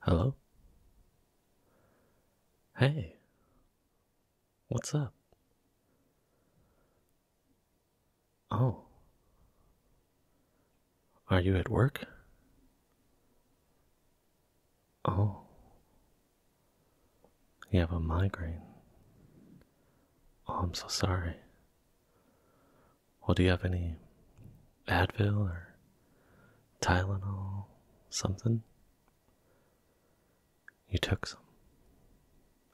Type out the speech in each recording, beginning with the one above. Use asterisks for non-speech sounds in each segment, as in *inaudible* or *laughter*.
Hello? Hey. What's up? Oh. Are you at work? Oh. You have a migraine. Oh, I'm so sorry. Well, do you have any Advil or Tylenol, something? You took some,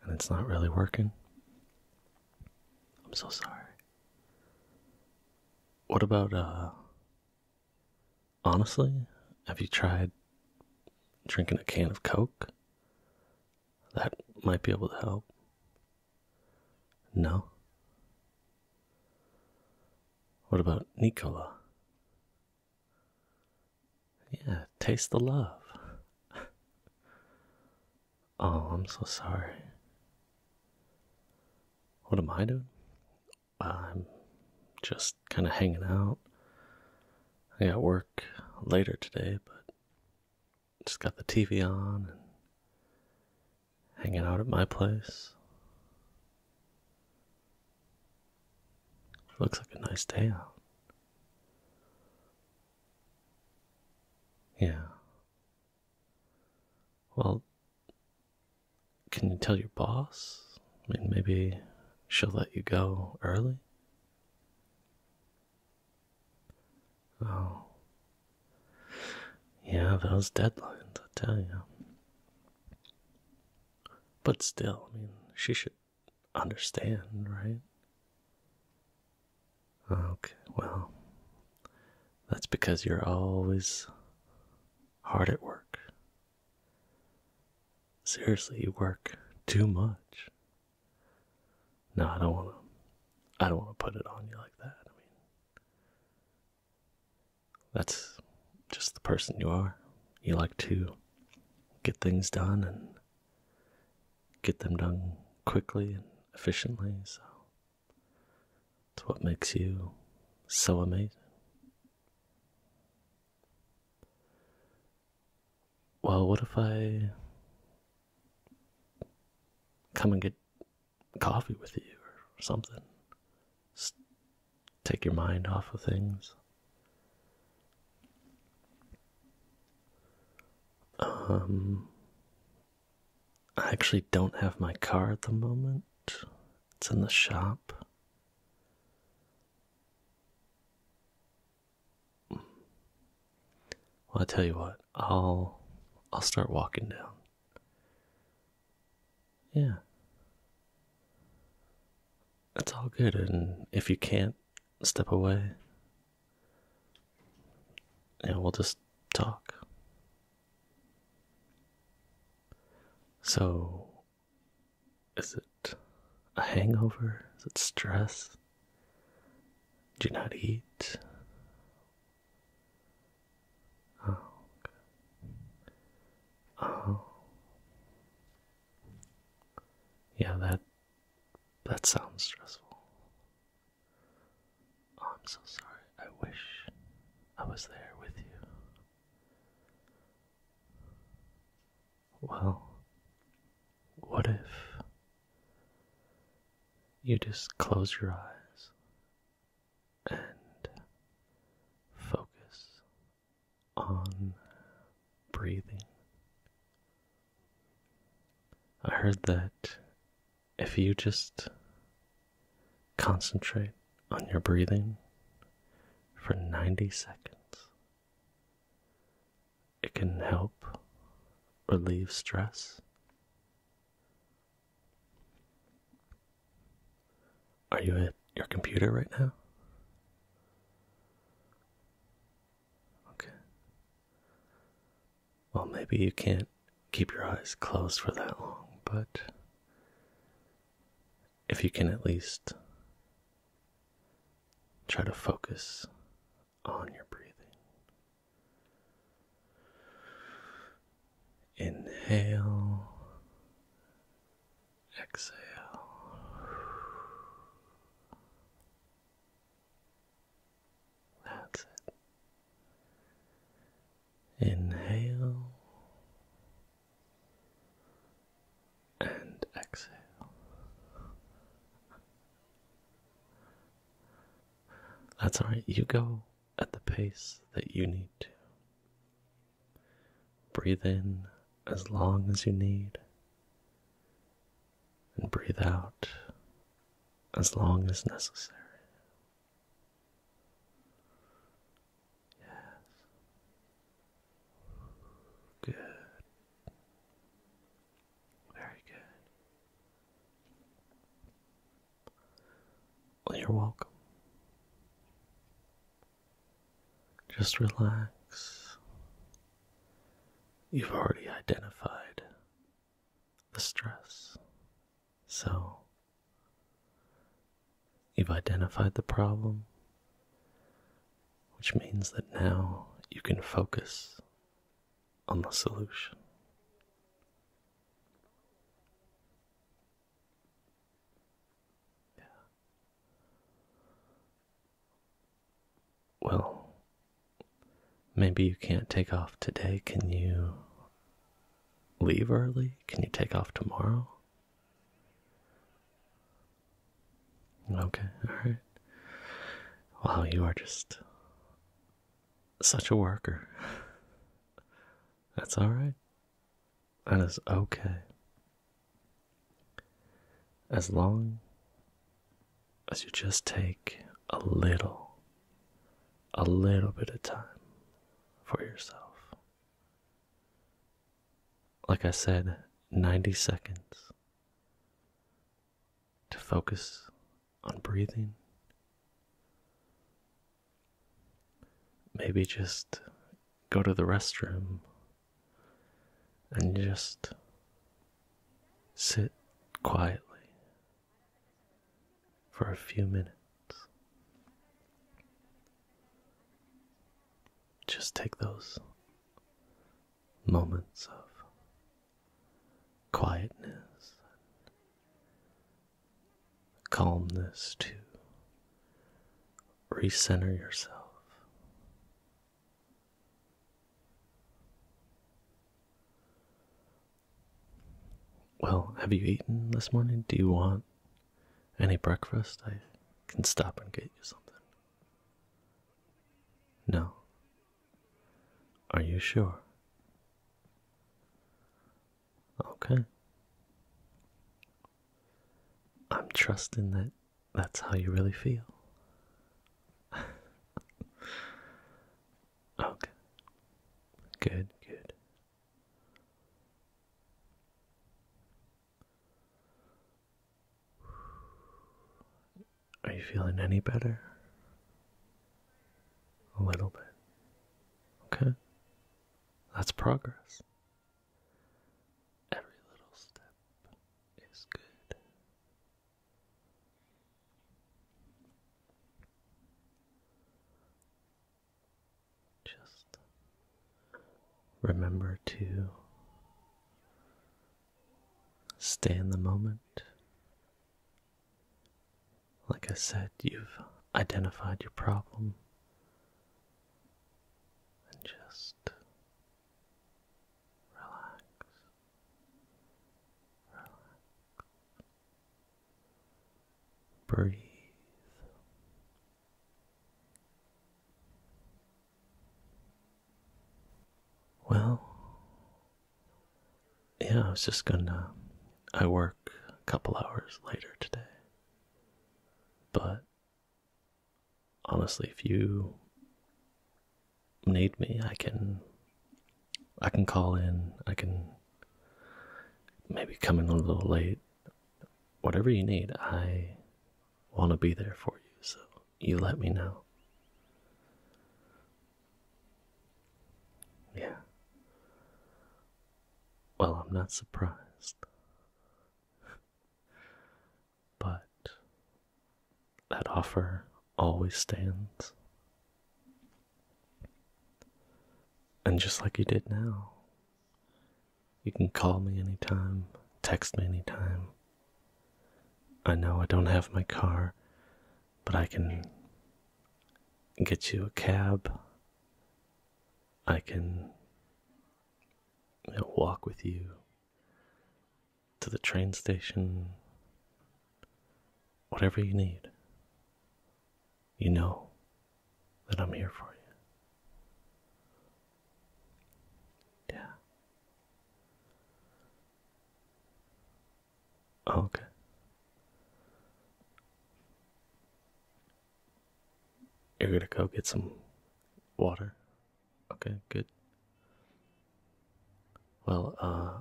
and it's not really working. I'm so sorry. What about, uh, honestly, have you tried drinking a can of Coke? that might be able to help. No? What about Nicola? Yeah, taste the love. *laughs* oh, I'm so sorry. What am I doing? I'm just kind of hanging out. I got work later today, but just got the TV on and hanging out at my place. Looks like a nice day out. Yeah. Well, can you tell your boss? I mean, maybe she'll let you go early. Oh. Yeah, those deadlines, I tell you. But still, I mean, she should understand, right? Okay, well, that's because you're always hard at work. Seriously, you work too much. No, I don't want to. I don't want to put it on you like that. I mean, that's just the person you are. You like to get things done and get them done quickly and efficiently. So it's what makes you so amazing well, what if I come and get coffee with you or something? take your mind off of things. Um, I actually don't have my car at the moment. It's in the shop. Well, I tell you what, I'll I'll start walking down. Yeah. That's all good, and if you can't step away, yeah, we'll just talk. So, is it a hangover? Is it stress? Did you not eat? Oh. Oh. Yeah, that that sounds stressful. Oh, I'm so sorry. I wish I was there with you. Well, what if you just close your eyes and focus on breathing? I heard that if you just concentrate on your breathing for 90 seconds, it can help relieve stress. Are you at your computer right now? Okay. Well, maybe you can't keep your eyes closed for that long, but if you can at least try to focus on your breathing. Inhale, exhale. That's it. Inhale and exhale. That's all right. You go at the pace that you need to. Breathe in as long as you need, and breathe out as long as necessary. Yes. Good. Very good. Well, you're welcome. Just relax. You've already identified the stress. So, you've identified the problem, which means that now you can focus on the solution. Yeah. Well, maybe you can't take off today. Can you leave early? Can you take off tomorrow? Okay, alright. Wow, you are just such a worker. That's alright. That is okay. As long as you just take a little, a little bit of time for yourself. Like I said, 90 seconds to focus on breathing. Maybe just go to the restroom and just sit quietly for a few minutes. Just take those moments of quietness, calmness to recenter yourself. Well, have you eaten this morning? Do you want any breakfast? I can stop and get you something. No. Are you sure? Okay. I'm trusting that that's how you really feel. *laughs* okay. Good, good. Are you feeling any better? A little bit. Okay. That's progress. Every little step is good. Just remember to stay in the moment. Like I said, you've identified your problem and just relax. Relax. Breathe. Well, yeah, I was just gonna. I work a couple hours later today. But honestly, if you need me, I can. I can call in. I can maybe come in a little late. Whatever you need, I want to be there for you. So you let me know. Yeah. Well, I'm not surprised. *laughs* but that offer always stands. And just like you did now, you can call me anytime, text me anytime. I know I don't have my car, but I can get you a cab. I can walk with you to the train station. Whatever you need, you know that I'm here for you. Yeah. Okay. You're gonna go get some water? Okay, good. Well, uh,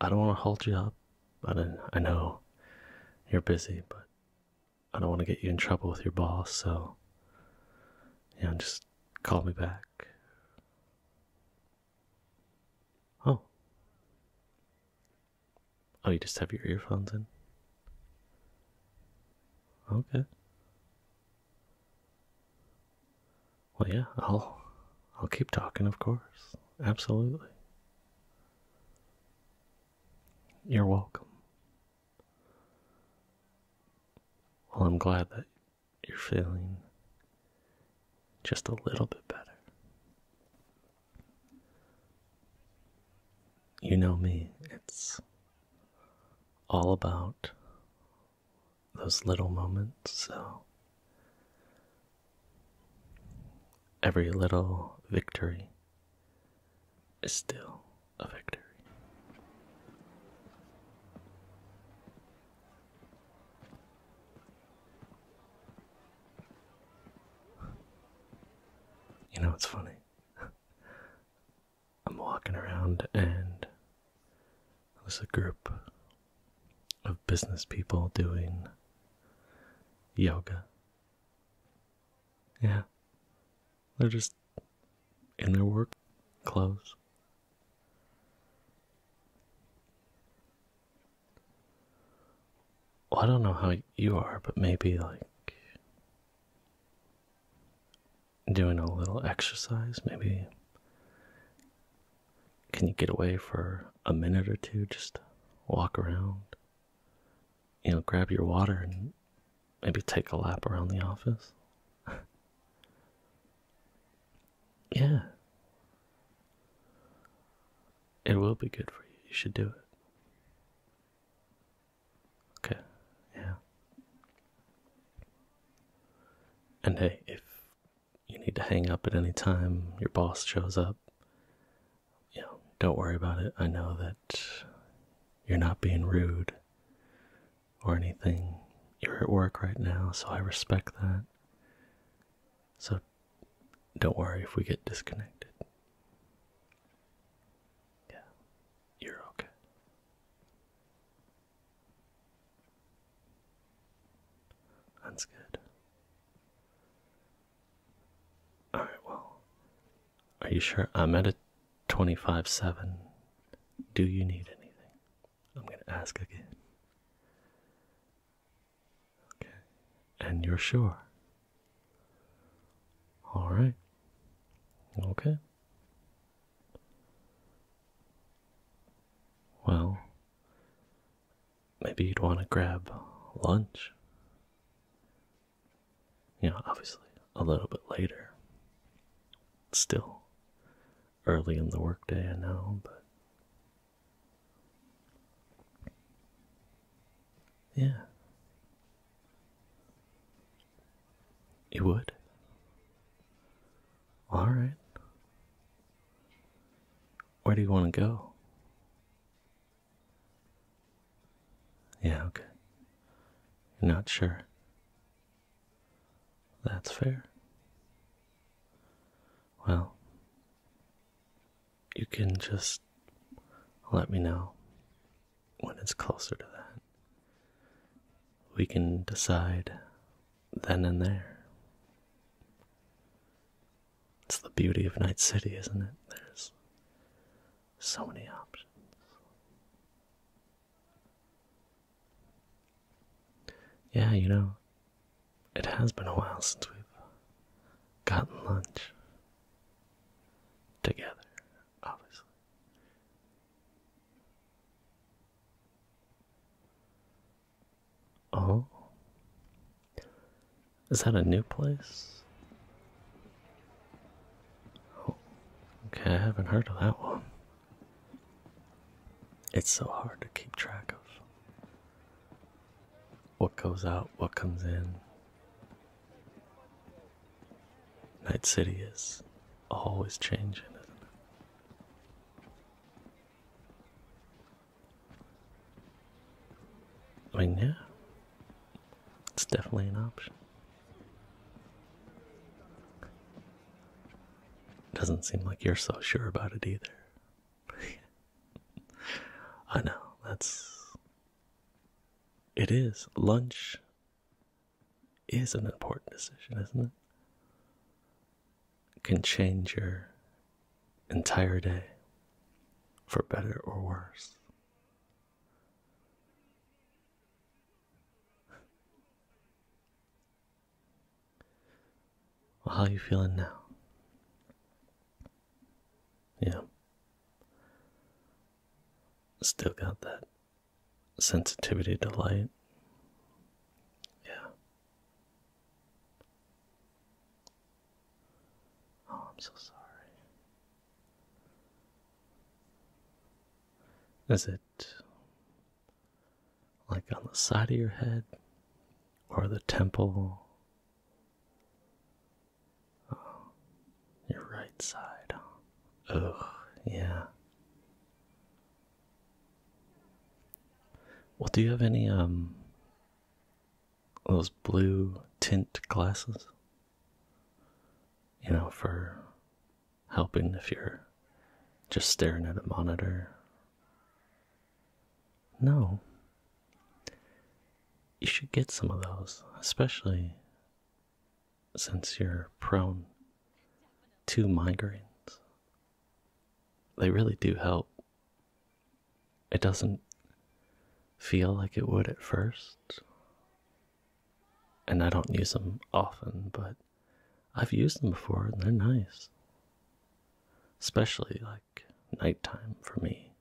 I don't want to hold you up. I, don't, I know you're busy, but I don't want to get you in trouble with your boss, so, yeah, just call me back Oh. Oh, you just have your earphones in? Okay. Well, yeah, I'll I'll keep talking, of course. Absolutely. You're welcome. Well, I'm glad that you're feeling just a little bit better. You know me, it's all about those little moments, so every little victory is still a victory. You know, it's funny. I'm walking around and there's a group of business people doing yoga. Yeah. They're just in their work clothes. Well, I don't know how you are, but maybe like doing a little exercise, maybe. Can you get away for a minute or two? Just walk around, you know, grab your water and maybe take a lap around the office. *laughs* Yeah. It will be good for you. You should do it. Okay. Yeah. And hey, if you need to hang up at any time, your boss shows up, you know, don't worry about it. I know that you're not being rude or anything. You're at work right now, so I respect that. So don't worry if we get disconnected. Yeah, you're okay. That's good. Alright, well, are you sure? I'm at a 25 7. Do you need anything? I'm going to ask again. Okay. And you're sure? All right. Okay. Well, maybe you'd want to grab lunch. Yeah, obviously, a little bit later. Still early in the workday, I know, but yeah. It would. All right. Where do you want to go? Yeah, okay. You're not sure. That's fair well, you can just let me know when it's closer to that. We can decide then and there. It's the beauty of Night City, isn't it? There's so many options. Yeah, you know, it has been a while since we've gotten lunch together, obviously. Oh, is that a new place? Oh, okay, I haven't heard of that one. It's so hard to keep track of what goes out, what comes in. Night City is always changing, is I mean, yeah, it's definitely an option. Doesn't seem like you're so sure about it either. *laughs* I know, that's. It is. Lunch is an important decision, isn't it? Can change your entire day for better or worse how are you feeling now? Yeah. Still got that sensitivity to light. Yeah. Oh, I'm so sorry. Is it like on the side of your head or the temple Oh, your right side, huh? Ugh, yeah. Well, do you have any, um, those blue tint glasses? You know, for helping if you're just staring at a monitor no. You should get some of those, especially since you're prone to migraines. They really do help. It doesn't feel like it would at first. And I don't use them often, but I've used them before and they're nice. Especially like nighttime for me.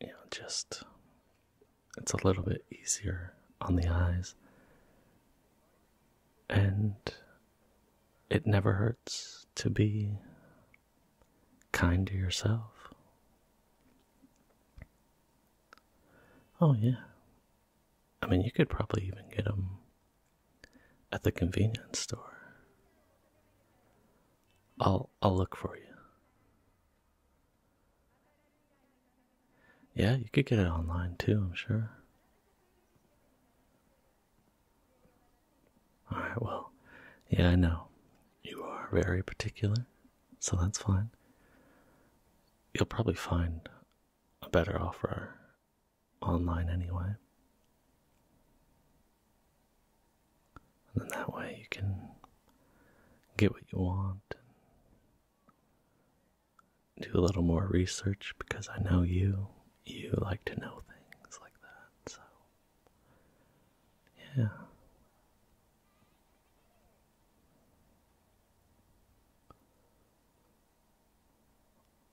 You know, just it's a little bit easier on the eyes, and it never hurts to be kind to yourself. Oh, yeah. I mean, you could probably even get them at the convenience store. I'll I'll look for you. Yeah, you could get it online too, I'm sure. All right, well, yeah, I know. You are very particular, so that's fine. You'll probably find a better offer online anyway. then that way you can get what you want and do a little more research because I know you, you like to know things like that, so yeah.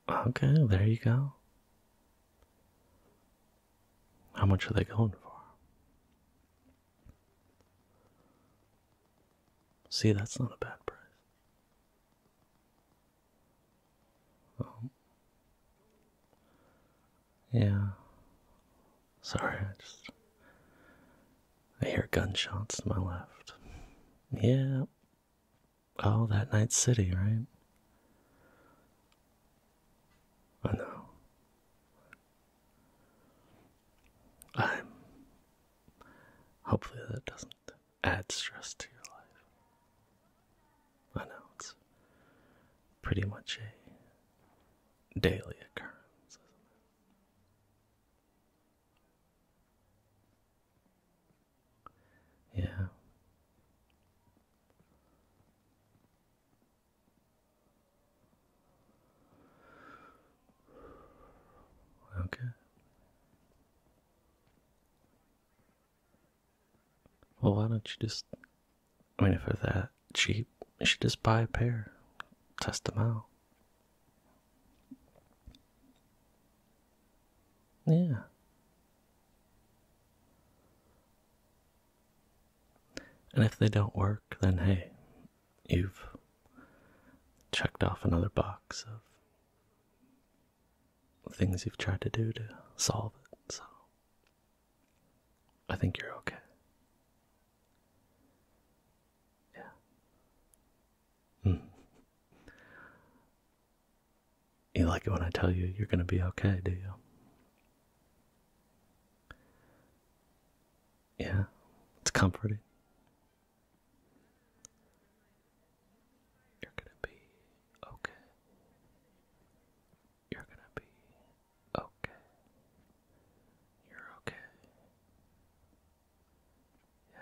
Okay, there you go. How much are they going for? See, that's not a bad price. Oh. Yeah. Sorry, I just. I hear gunshots to my left. Yeah, Oh, that night city, right? I know. I'm. Hopefully, that doesn't add stress to your life. I know it's pretty much a daily occurrence. Yeah. Okay. Well, why don't you just? I mean, if they're that cheap, you should just buy a pair, test them out. Yeah. And if they don't work, then hey, you've checked off another box of things you've tried to do to solve it, so I think you're okay. Yeah. Hmm. You like it when I tell you you're going to be okay, do you? Yeah, it's comforting. You're going to be okay. You're going to be okay. You're okay. Yes.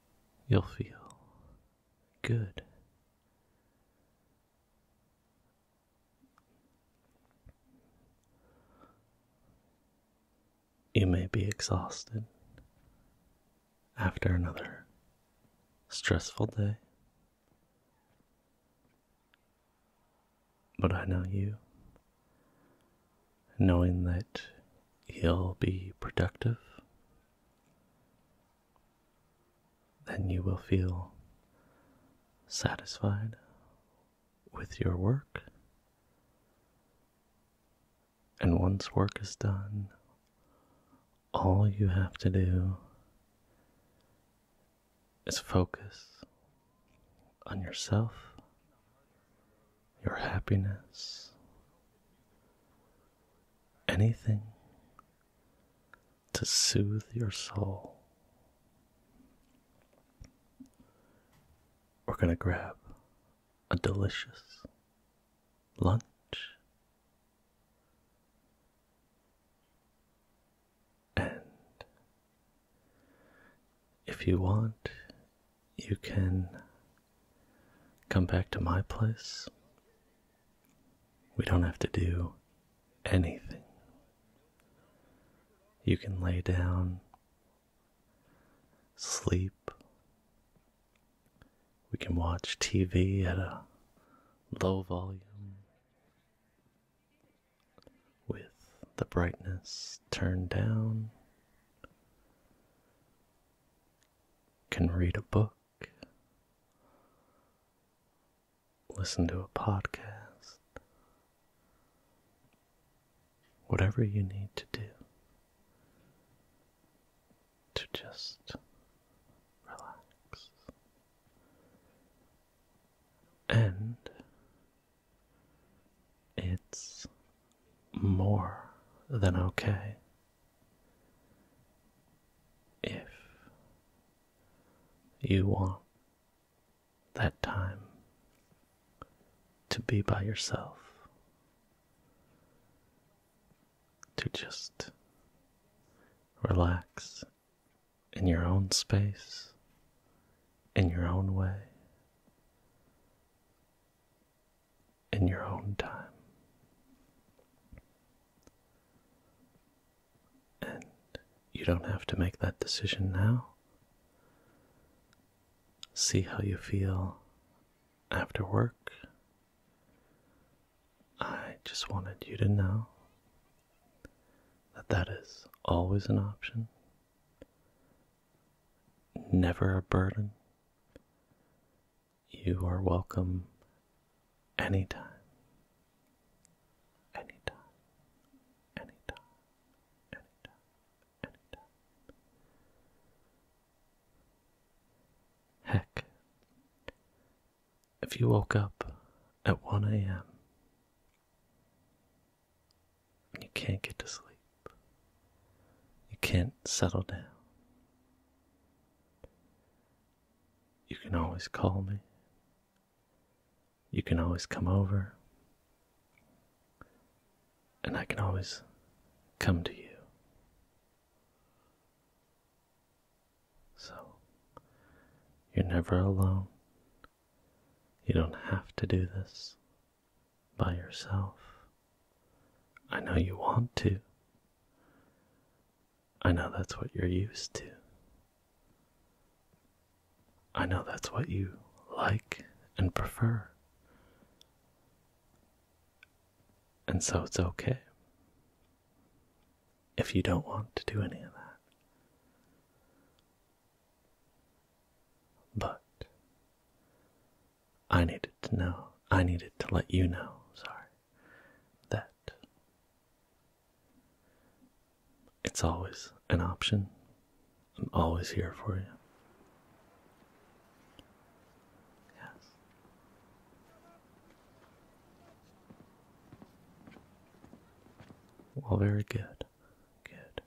you'll feel good. You may be exhausted after another stressful day, but I know you knowing that you'll be productive, then you will feel satisfied with your work. And once work is done, all you have to do is focus on yourself your happiness, anything to soothe your soul. We're going to grab a delicious lunch. And if you want, you can come back to my place. We don't have to do anything. You can lay down, sleep. We can watch TV at a low volume with the brightness turned down can read a book, listen to a podcast, whatever you need to do to just relax. And it's more than okay if you want that time to be by yourself, to just relax in your own space, in your own way in your own time. And you don't have to make that decision now. See how you feel after work. I just wanted you to know that that is always an option, never a burden, you are welcome anytime. Anytime. Anytime. Anytime. Anytime. Heck, if you woke up at 1 a.m. and you can't get to sleep, you can't settle down. You can always call me. You can always come over. And I can always come to you. So, you're never alone. You don't have to do this by yourself. I know you want to. I know that's what you're used to. I know that's what you like and prefer. And so it's okay if you don't want to do any of that. But I needed to know. I needed to let you know, sorry, that it's always an option. I'm always here for you. Yes. Well, very good. Good.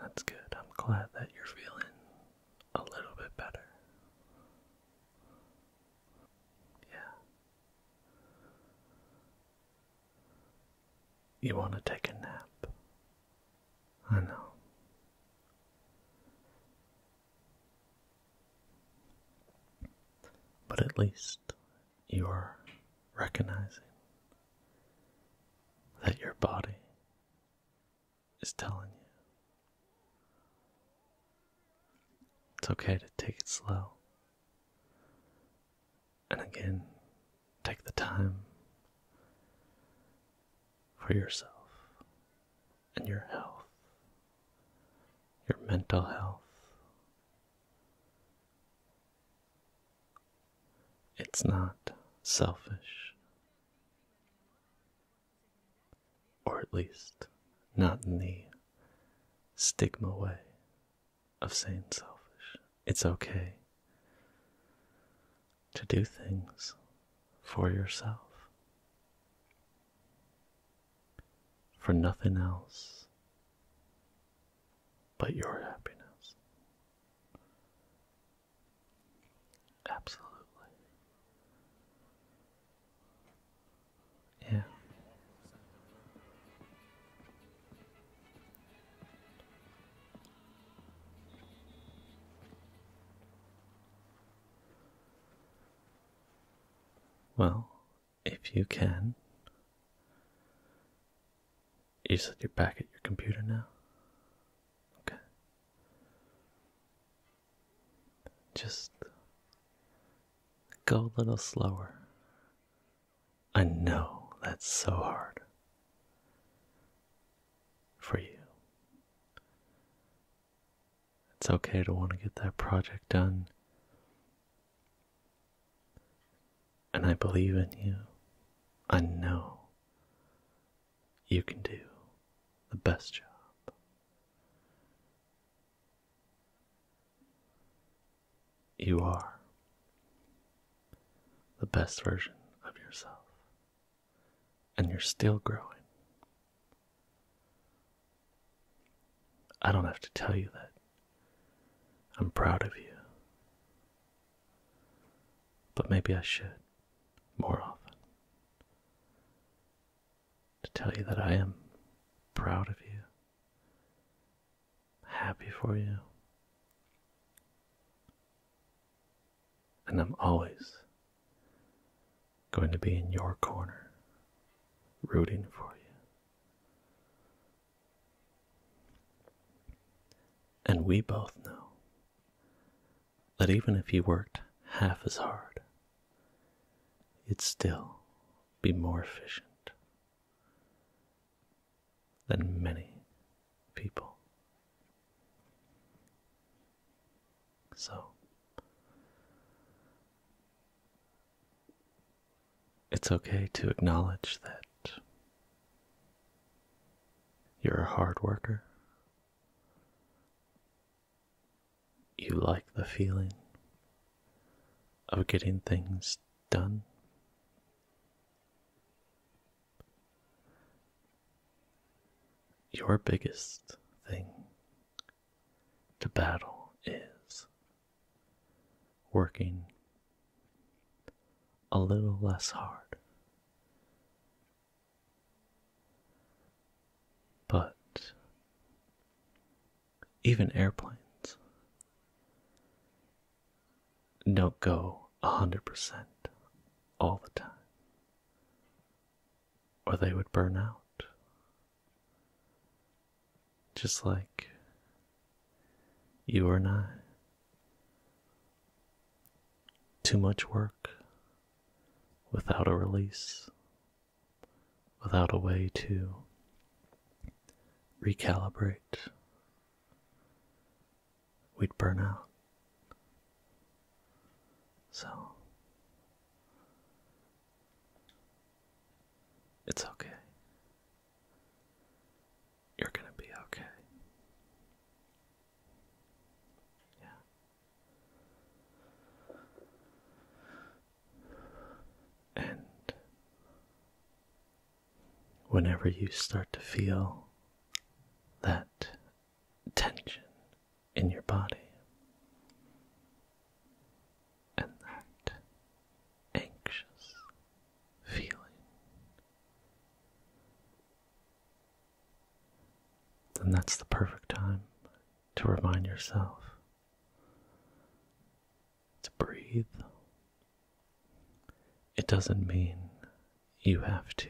That's good. I'm glad that you're feeling a little bit better. Yeah. You want to take a nap. I know. But at least you're recognizing that your body is telling you. It's okay to take it slow. And again, take the time for yourself and your health, your mental health, it's not selfish, or at least not in the stigma way of saying selfish. It's okay to do things for yourself, for nothing else but your happiness. Absolutely. Yeah. Well, if you can. You said you're back at your computer now? Okay. Just go a little slower. I know that's so hard for you. It's okay to want to get that project done and I believe in you. I know you can do the best job. You are the best version of yourself, and you're still growing. I don't have to tell you that. I'm proud of you. But maybe I should more often. To tell you that I am proud of you, happy for you, and I'm always going to be in your corner, rooting for you, and we both know that even if he worked half as hard, it'd still be more efficient than many people. So, it's okay to acknowledge that you're a hard worker. You like the feeling of getting things done. Your biggest thing to battle is working a little less hard. But even airplanes don't go 100% all the time, or they would burn out just like you and I. Too much work without a release, without a way to recalibrate. We'd burn out. So, it's okay. You're going to be okay. Yeah. And whenever you start to feel that tension in your body, and that anxious feeling. Then that's the perfect time to remind yourself to breathe. It doesn't mean you have to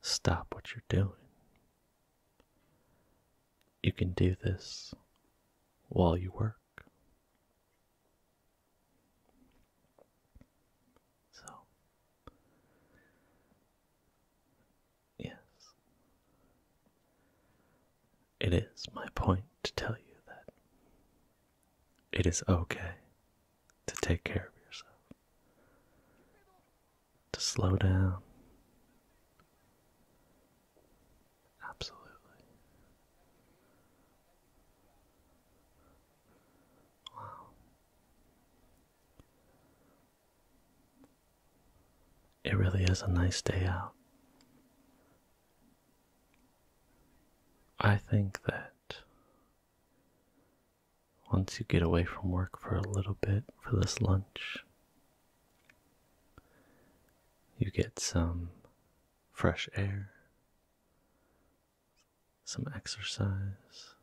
stop what you're doing. You can do this while you work. So, yes, it is my point to tell you that it is okay to take care of yourself, to slow down, Absolutely. Wow. It really is a nice day out. I think that once you get away from work for a little bit for this lunch, you get some fresh air, some exercise.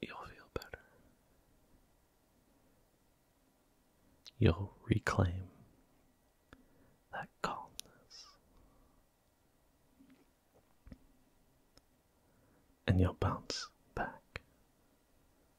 You'll feel better. You'll reclaim that calmness. And you'll bounce back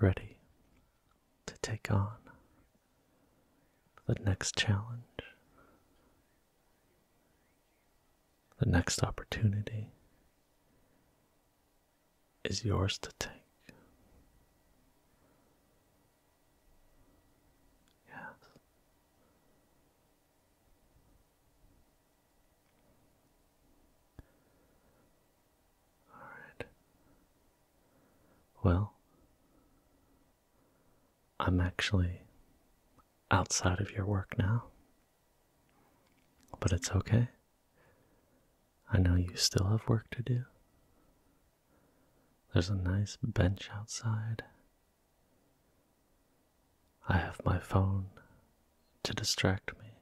ready to take on the next challenge, the next opportunity is yours to take. Yes. Alright. Well, I'm actually outside of your work now. But it's okay. I know you still have work to do. There's a nice bench outside. I have my phone to distract me.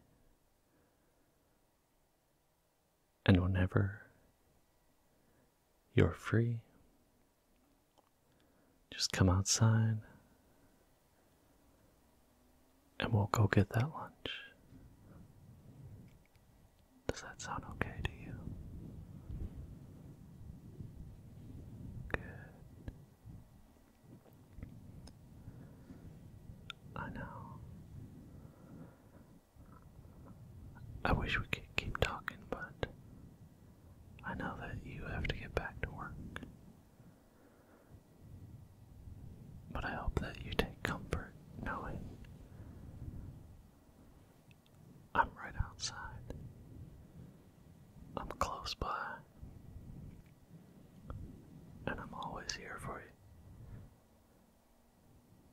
And whenever you're free, just come outside and we'll go get that lunch. Does that sound okay to you? Good. I know. I wish we could keep talking, but I know that you have to get back to work. But I hope that you take comfort knowing I'm right outside. I'm close by. And I'm always here for you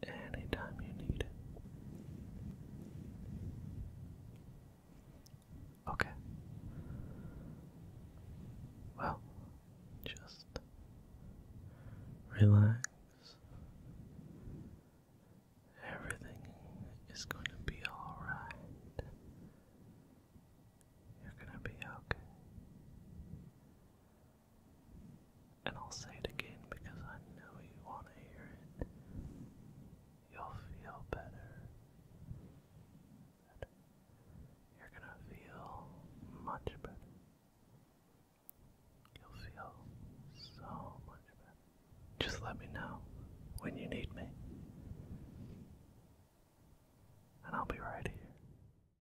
anytime you need it. Okay. Well, just relax. Everything is going to be alright. You're going to be okay. And I'll say it again because I know you want to hear it. You'll feel better. You're gonna feel much better. You'll feel so much better. Just let me know when you need me. And I'll be right here.